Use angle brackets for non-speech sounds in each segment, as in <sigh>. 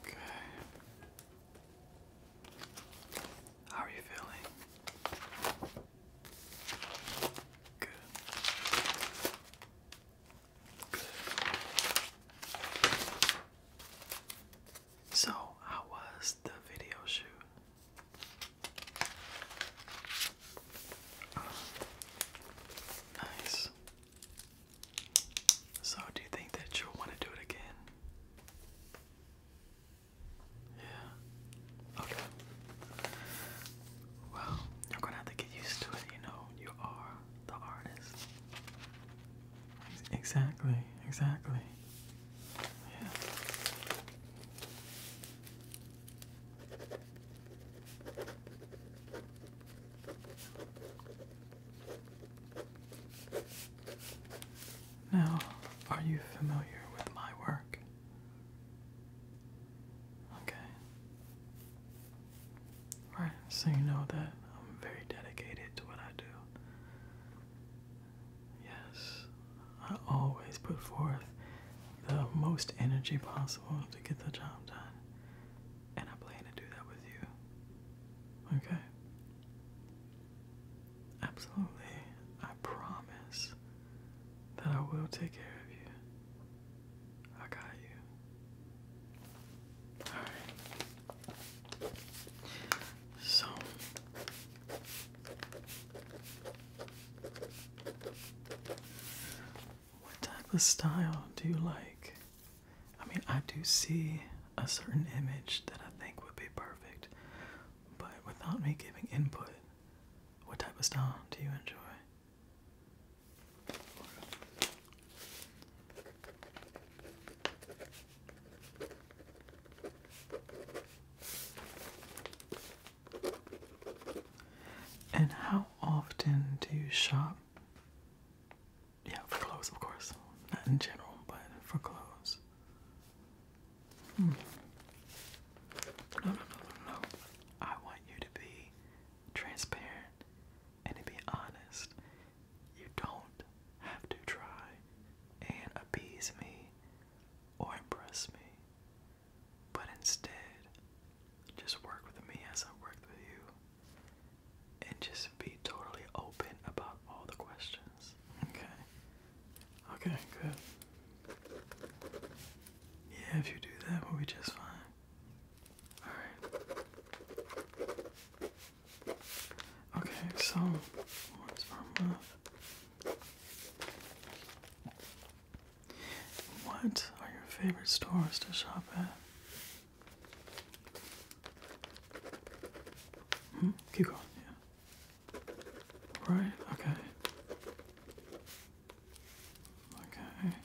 Okay. How are you feeling? So, how was the video shoot? nice. So, do you think that you'll want to do it again? Yeah. Okay. Well, you're gonna have to get used to it, you know. You are the artist. Exactly, exactly. Yeah. Now, are you familiar with my work? Okay. All right, so you know that I'm very dedicated to what I do. Yes, I always put forth the most energy possible to get the job done. And I plan to do that with you. Okay? Absolutely. I promise that I will take care of you. I got you. Alright. So. What type of style do you like? I mean, I do see a certain image that I think would be perfect, but without me giving input, what type of style do you enjoy? And how often do you shop? Yeah, for clothes, of course. Not in general, but for clothes. Hmm. No, no, no, no, I want you to be transparent and to be honest. You don't have to try and appease me or impress me, but instead, just work with me as I work with you. And just be totally open about all the questions. Okay? Okay, good. Yeah, if you do that, we'll be just fine. Alright. Okay, so what's our love? What are your favorite stores to shop at? Hmm? Keep going, yeah. Right, okay. Okay.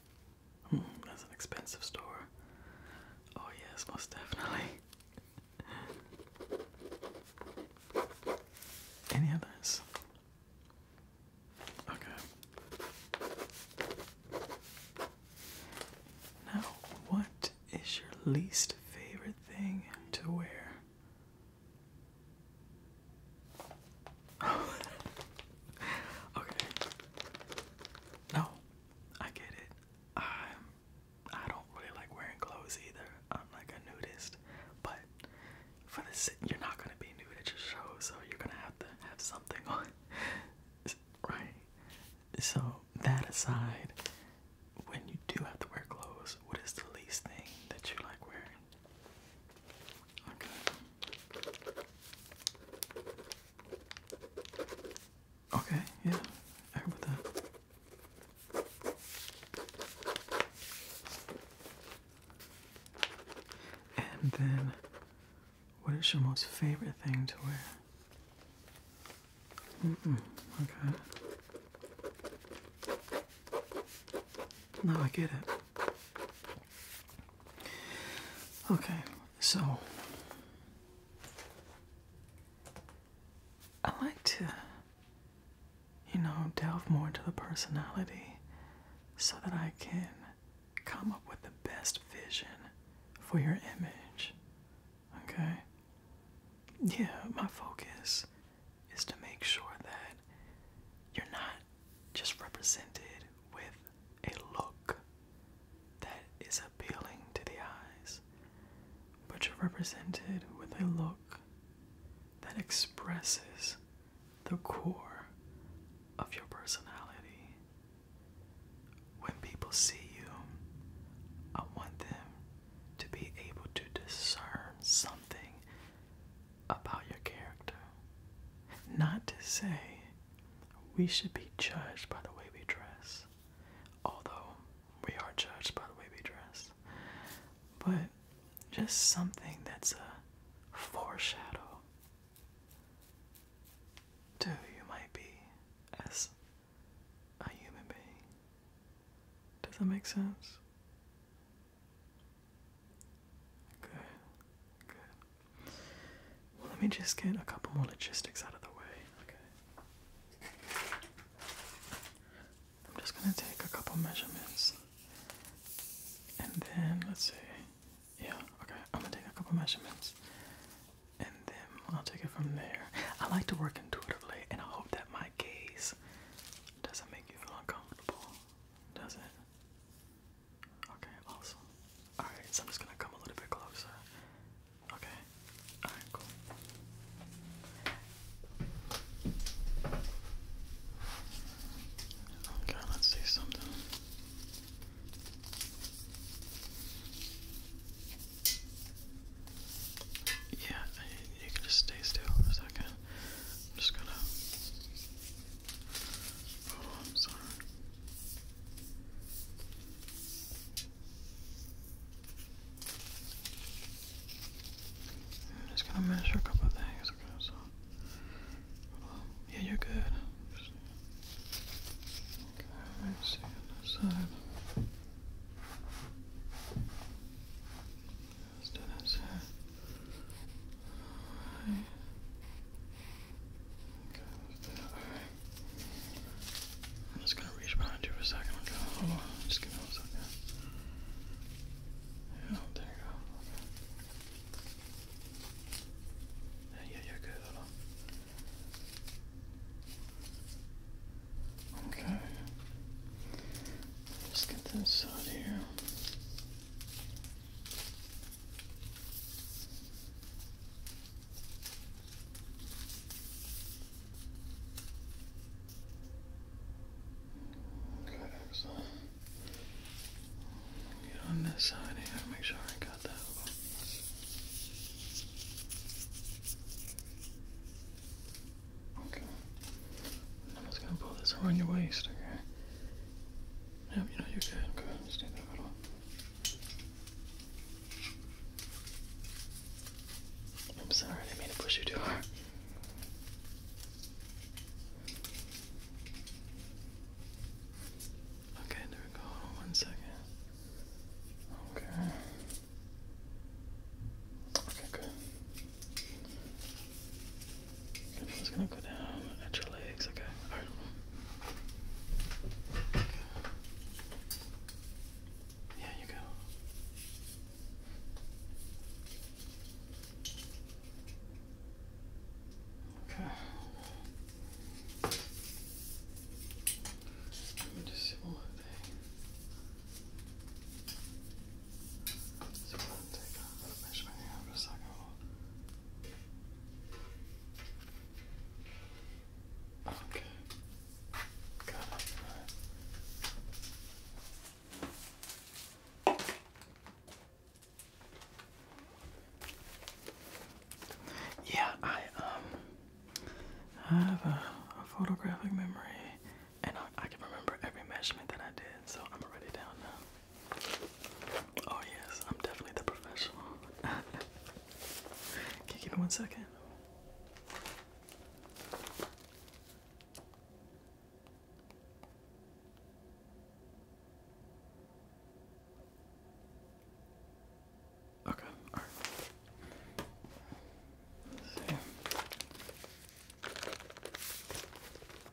Mm, that's an expensive store. Oh yes, most definitely. <laughs> Any others? Okay. Now, what is your least favorite thing to wear? <laughs> okay. No, I get it. I'm I don't really like wearing clothes either. I'm like a nudist, but for this, you're not gonna be nude at your show, so you're gonna have to have something <laughs> on, right? So that aside, when you do have to wear clothes, what is the least thing that you like wearing? Okay. Okay, yeah. I agree that. And then, what is your most favorite thing to wear? Mm -mm, okay. No, I get it. Okay, so I like to, you know, delve more into the personality so that I can come up with the best vision for your image. Okay? Yeah, my focus is to make sure that you're not just represented with a look that is appealing to the eyes, but you're represented with a look that expresses the core of your personality. When people see you, I want them to be able to discern something about your character. Not to say we should be judged by the way we dress, although we are judged by the way we dress, but just something that's a foreshadow to who you might be as a human being. Does that make sense? Good, good. let me just get a couple more logistics out of the way. Okay. I'm just gonna take a couple measurements. And then let's see. Yeah, okay. I'm gonna take a couple measurements. And then I'll take it from there. I like to work intuitively, and I hope that my gaze doesn't make you feel uncomfortable. Does it? Okay, awesome. Alright, so I'm just gonna come a little bit closer. Okay. Alright, cool. Okay, let's see something. Yeah, you can just stay still for a second. I'm just gonna I'm just gonna measure a couple things, okay, so, yeah, you're good, okay, let's see on this side, let's do this here, I'm just gonna reach behind you for a second. Okay, hold on. Just give me one second. Yeah, oh, there you go. Yeah, you're good. Okay. Let's get this out here. Okay, Get on this side here, make sure I got that Okay. I'm just gonna pull this around your waist, okay? Yeah, you know, you're good. Go ahead and stay little. I'm sorry, I didn't mean to push you too hard. Okay, there we go. one second. Okay. Okay, good. I'm gonna go down at your legs, okay? Alright. Yeah, you go. Okay. Let me just see one more thing. take off. Make sure I second. Okay. Got it. Yeah, I um I have a, photographic memory and I, I can remember every measurement that I did, so I'm already down now. Oh yes, I'm definitely the professional. <laughs> Can you give me one second? Okay, all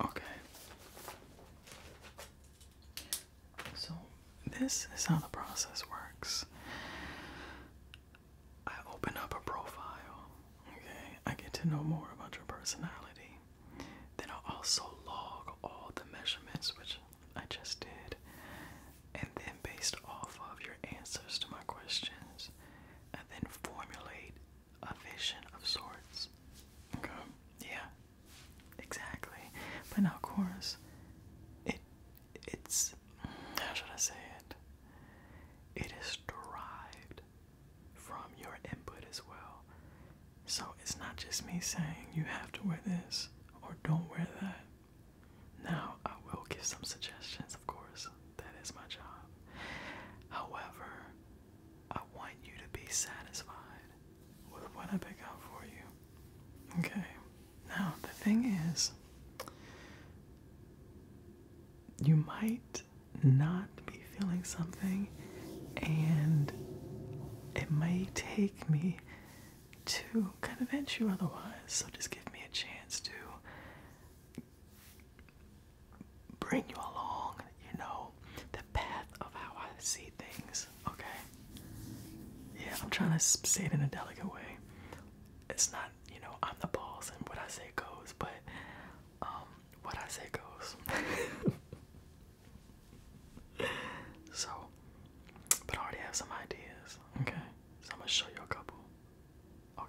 Okay. So, this is how the process works. I open up a profile, okay? I get to know more about your personality. Then i also log all the measurements, which I just did. And then, based off of your answers to my questions, I then formulate a vision of sorts. Okay. Yeah. Exactly. But now, of course, it it's how should I say it? It is derived from your input as well. So it's not just me saying you have to wear this or don't wear that. Now, I will give some suggestions, of course. That is my job. However, I want you to be satisfied with what I pick out for you. Okay. Now, the thing is, you might not be feeling something, and it might take me to kind convince you otherwise. So, just give me a chance to bring you along, you know, the path of how I see things, okay? Yeah, I'm trying to say it in a delicate way. It's not, you know, I'm the boss and what I say goes, but um, what I say goes. <laughs> so, but I already have some ideas, okay? So I'm gonna show you a couple. Okay,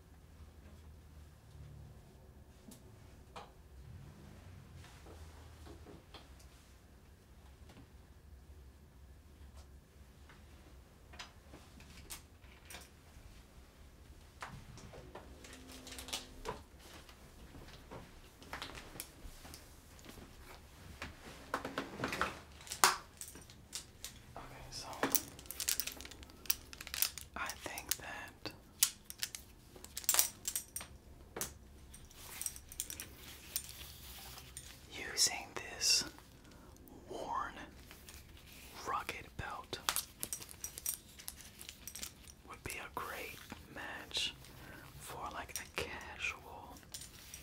Okay, so I think that Using this worn, rugged belt would be a great match for like a casual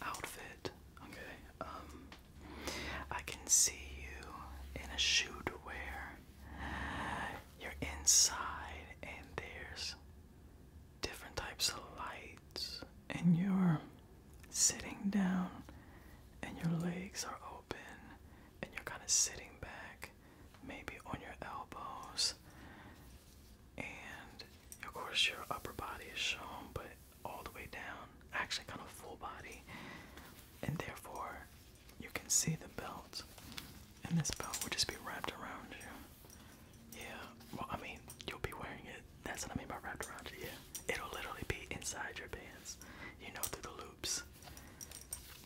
outfit. Okay, um, I can see you in a shoe to wear. You're inside, and there's different types of lights, and you're sitting down, and your legs are open, and you're kind of sitting back, maybe on your elbows, and of course, your upper body is shown, but all the way down, actually, kind of full body, and therefore, you can see the belt, and this belt would just be wrapped around you. Yeah, well, I mean, you'll be wearing it. That's what I mean by wrapped around you. Yeah, it'll literally be inside your pants, you know, through the loops.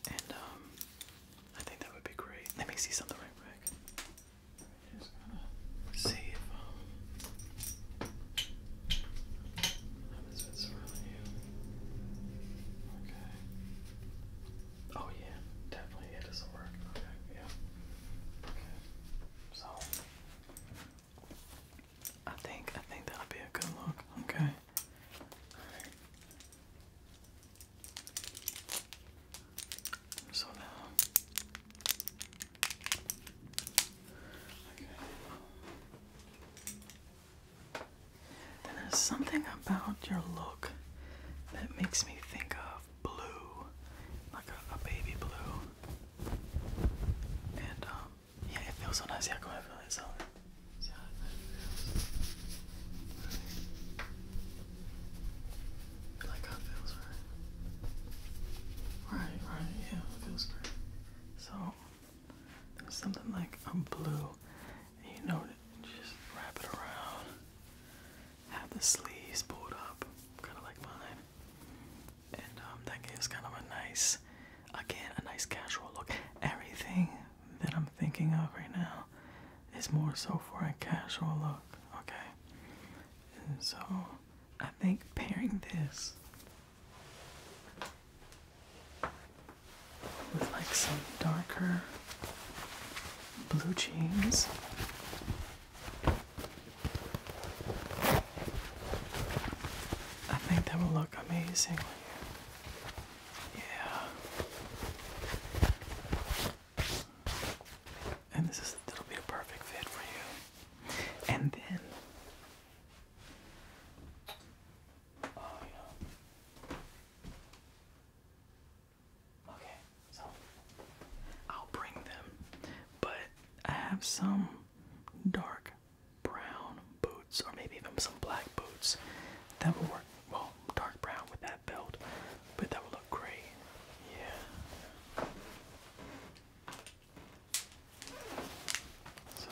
And um, I think that would be great. Let me see something right quick. Just going see um, is that surrounding you? Oh yeah, definitely it doesn't work. yeah. So I think I think that'll be a good look. Okay. So now Okay there's something about your look that makes me think of blue, like a, baby blue. And um, yeah, it feels so nice. Yeah, go ahead, feel it. So, yeah, it feels, right? Right, right, yeah, feels great. So, there's something like a blue you know, just wrap it around. Have the sleeves pulled up, kind of like mine. And um, that gives kind of a nice, again, a nice casual look. Everything that I'm thinking of right now is more so for a casual look, okay? And so I think pairing this with like some darker blue jeans. I think that will look amazing Yeah. And this is that'll be a perfect fit for you. And then Oh yeah. Okay, so I'll bring them, but I have some dark brown boots, or maybe even some black boots that will work well, dark brown with that belt, but that will look great. Yeah. So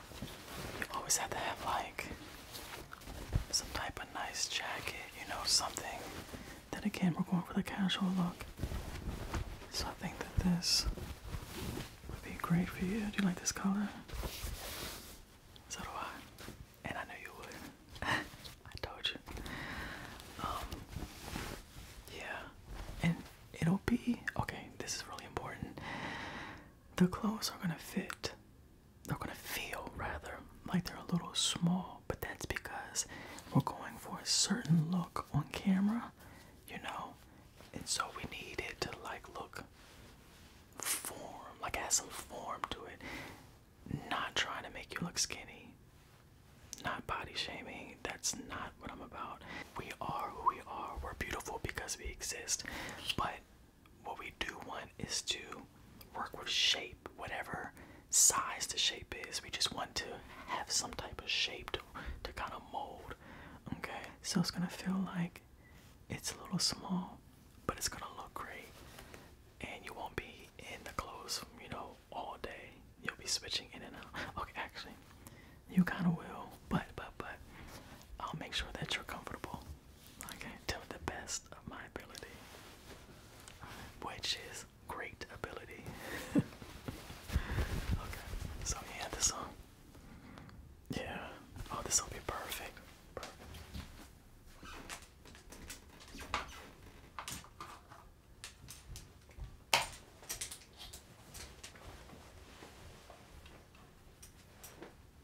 You always have to have like some type of nice jacket, you know, something. Then again, we're going for the casual look. So I think that this would be great for you. Do you like this color? Is that a I. And I knew you would. <laughs> I told you. Um, yeah. And it'll be okay, this is really important. The clothes are gonna fit they're gonna feel rather like they're a little small, but that's because we're going for a certain look on camera, you know, and so we need it to like look form, like add some form to it. Not trying to make you look skinny, not body shaming, that's not what I'm about. We are who we are, we're beautiful because we exist, but what we do want is to work with shape, whatever size the shape is. We just want to have some type of shape to, to kind of mold. Okay, so it's gonna feel like it's a little small, but it's gonna look great. And you won't be in the clothes, you know, all day. You'll be switching in and out. Okay, actually, you kind of will, but, but, but, I'll make sure that you're comfortable. I can tell the best of my ability, which is great ability. <laughs> okay, so yeah, this song. Yeah. Oh, this will be Perfect.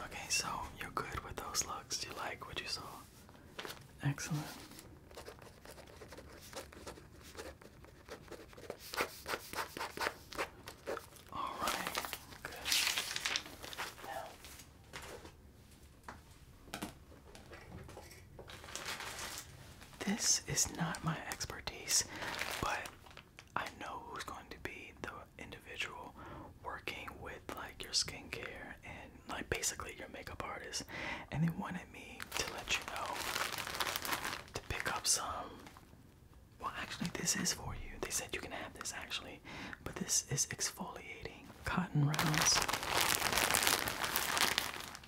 Okay, so you're good with those looks. You like what you saw? Excellent. All right, good. Now, this is not my expertise, but I know who's going to be the individual working with like your skincare and like basically your makeup artist. And they wanted me to let you know to pick up some. Well, actually, this is for you. They said you can have this actually, but this is exfoliating cotton rounds.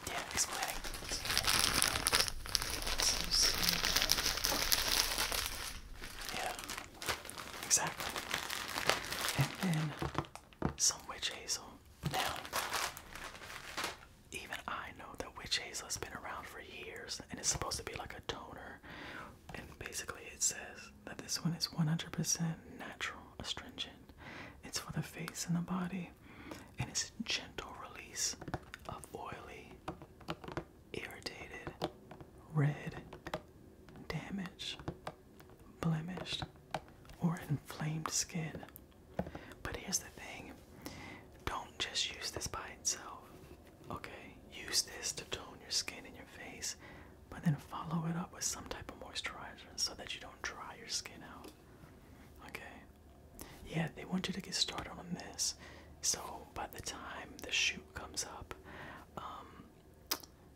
Yeah, explaining. Yeah, exactly. And then some witch hazel. Now, even I know that witch hazel has been around for years and it's supposed to be like a toner. And basically, it says that this one is 100% natural astringent. It's for the face and the body and its a gentle release of oily, irritated, red, damaged, blemished, or inflamed skin. But here's the thing don't just use this by itself, okay? Use this to tone your skin and your face, but then follow it up with some type of moisturizer so that you don't dry your skin out. Okay. Yeah, they want you to get started on this. So by the time the shoot comes up, um,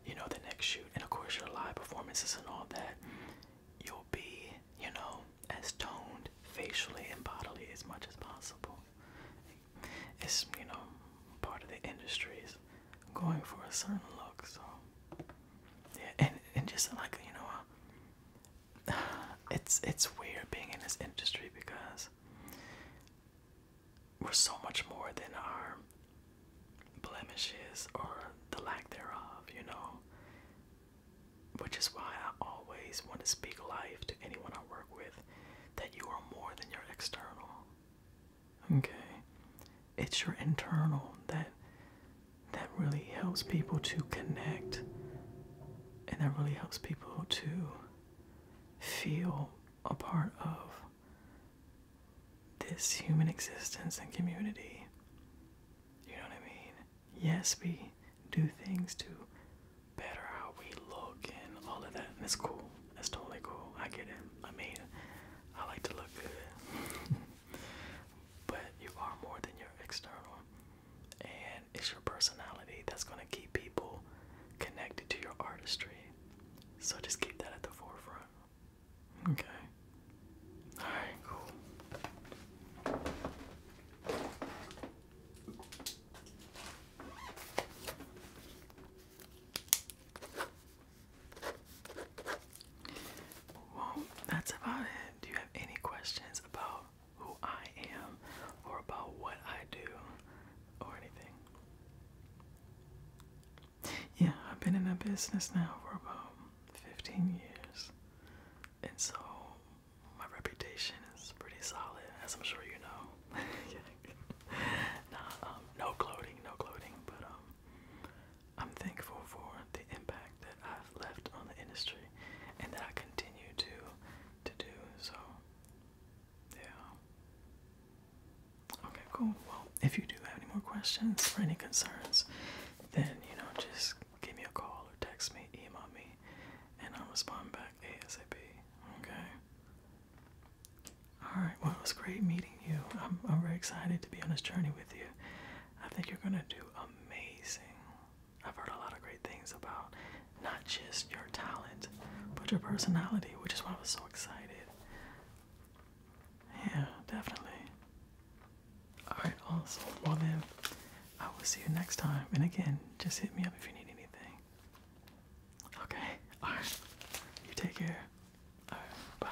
you know, the next shoot, and of course your live performances and all that, you'll be, you know, as toned facially and bodily as much as possible. It's, you know, part of the industry is going for a certain look, so yeah, and, and just like, you know, it's it's weird being in this industry because we're so much more than our blemishes or the lack thereof, you know. Which is why I always want to speak life to anyone I work with that you are more than your external. Okay. It's your internal that that really helps people to connect and that really helps people to feel a part of this human existence and community. You know what I mean? Yes, we do things to better how we look and all of that, and it's cool. That's totally cool. I get it. I mean, I like to look good. <laughs> but you are more than your external. And it's your personality that's going to keep people connected to your artistry. So just keep that at the forefront. Okay. Alright, cool. Well, that's about it do you have any questions about who I am or about what I do or anything? Yeah, I've been in a business now for about 15 years. And so my reputation is pretty solid, as I'm sure you know. <laughs> yeah. um, no clothing, no clothing, but um, I'm thankful for the impact that I've left on the industry and that I continue to to do. So yeah. Okay, cool. Well, if you do have any more questions or any concerns, then you know just give me a call or text me, email me, and I'll respond back ASAP. Okay. Alright, well it was great meeting you. I'm I'm very excited to be on this journey with you. I think you're gonna do amazing. I've heard a lot of great things about not just your talent, but your personality, which is why I was so excited. Yeah, definitely. Alright, awesome. Well, then, I will see you next time. And again, just hit me up if you need anything. Okay, alright. You take care. Alright, bye.